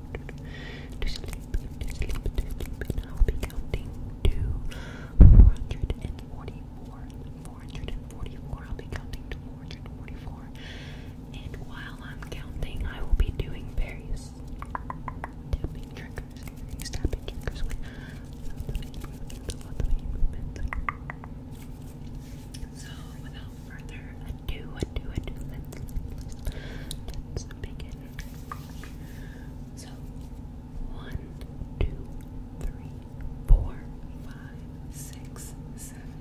to sleep, to sleep, to sleep, and I'll be counting to 444, 444, I'll be counting to 444, and while I'm counting, I will be doing various tapping triggers, various tapping triggers with so, without further ado, ado, ado, let's, let's, let's begin so one, two, three, four, five, six, seven,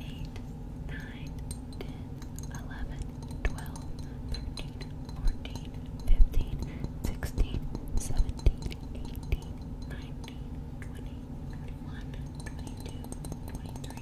eight, nine, ten, eleven, twelve, thirteen, fourteen, fifteen, sixteen, seventeen, eighteen, nineteen, twenty, twenty-one, twenty-two, twenty-three.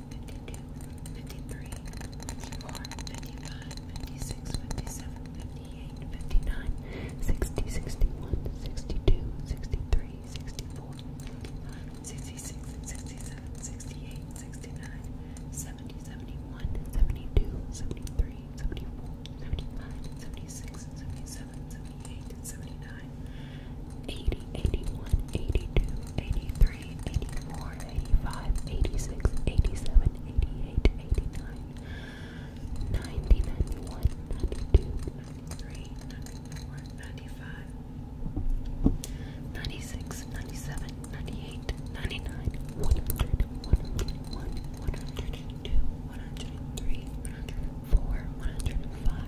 52, 53, 54, 55, 56, 57, 58, 59, 60, 61, 62, 63, 64, 65, 66, 67, 68, 69, 70, 71, 72, 73, 74, 75, 76, 77, 78, 79, 80, 81, 82, 83, 84, 85, 86, 87, 88, 89, 90, 91, 92, 93, 94, 95, 96, 97, 98, 99, 100, 101, 102, 103, 104, 105,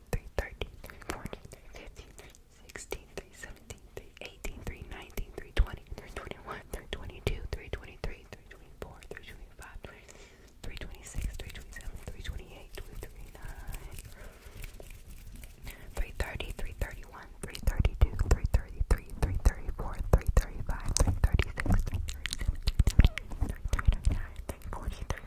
3, 13, 14, 3, 15, 3, 16, 3, 17, 3, 18, 3, 19, 3, 20, 3, 21, 3, 22, 3, 23, 3, 24, 3, 25, 3, 26, 3, 27, 3, 28, 3, 39, 330, 331, 332, 333, 334, 335, 336, 337, 339, 340, 341,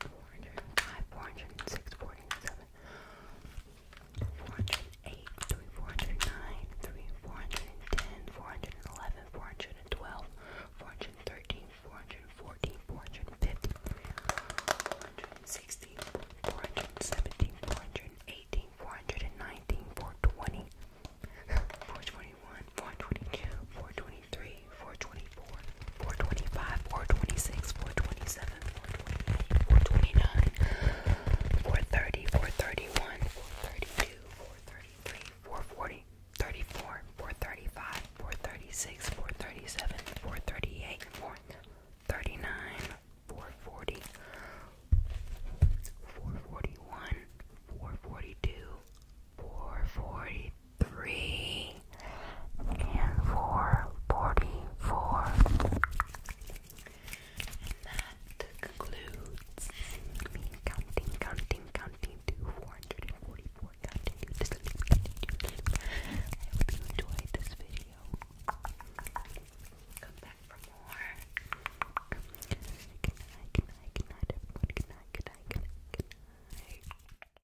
405, 406, 407, 408, 3, 409, 3, 410, 411, 412, 413, 414, 415, 416, 417, 418, 419, 420, 421, 422, 423, 424, 425, 426, 427, 428, 429, 430, 431, 432, 433, 440, 435, 436, 437, 438, 439, 440, 441, 442, 443, three and four forty-four. And that concludes me counting, counting, counting to four hundred and forty-four. Counting to sleep, counting to I hope you enjoyed this video. Come back for more. Good night, good night, good night, Good night, good night, good night, good night.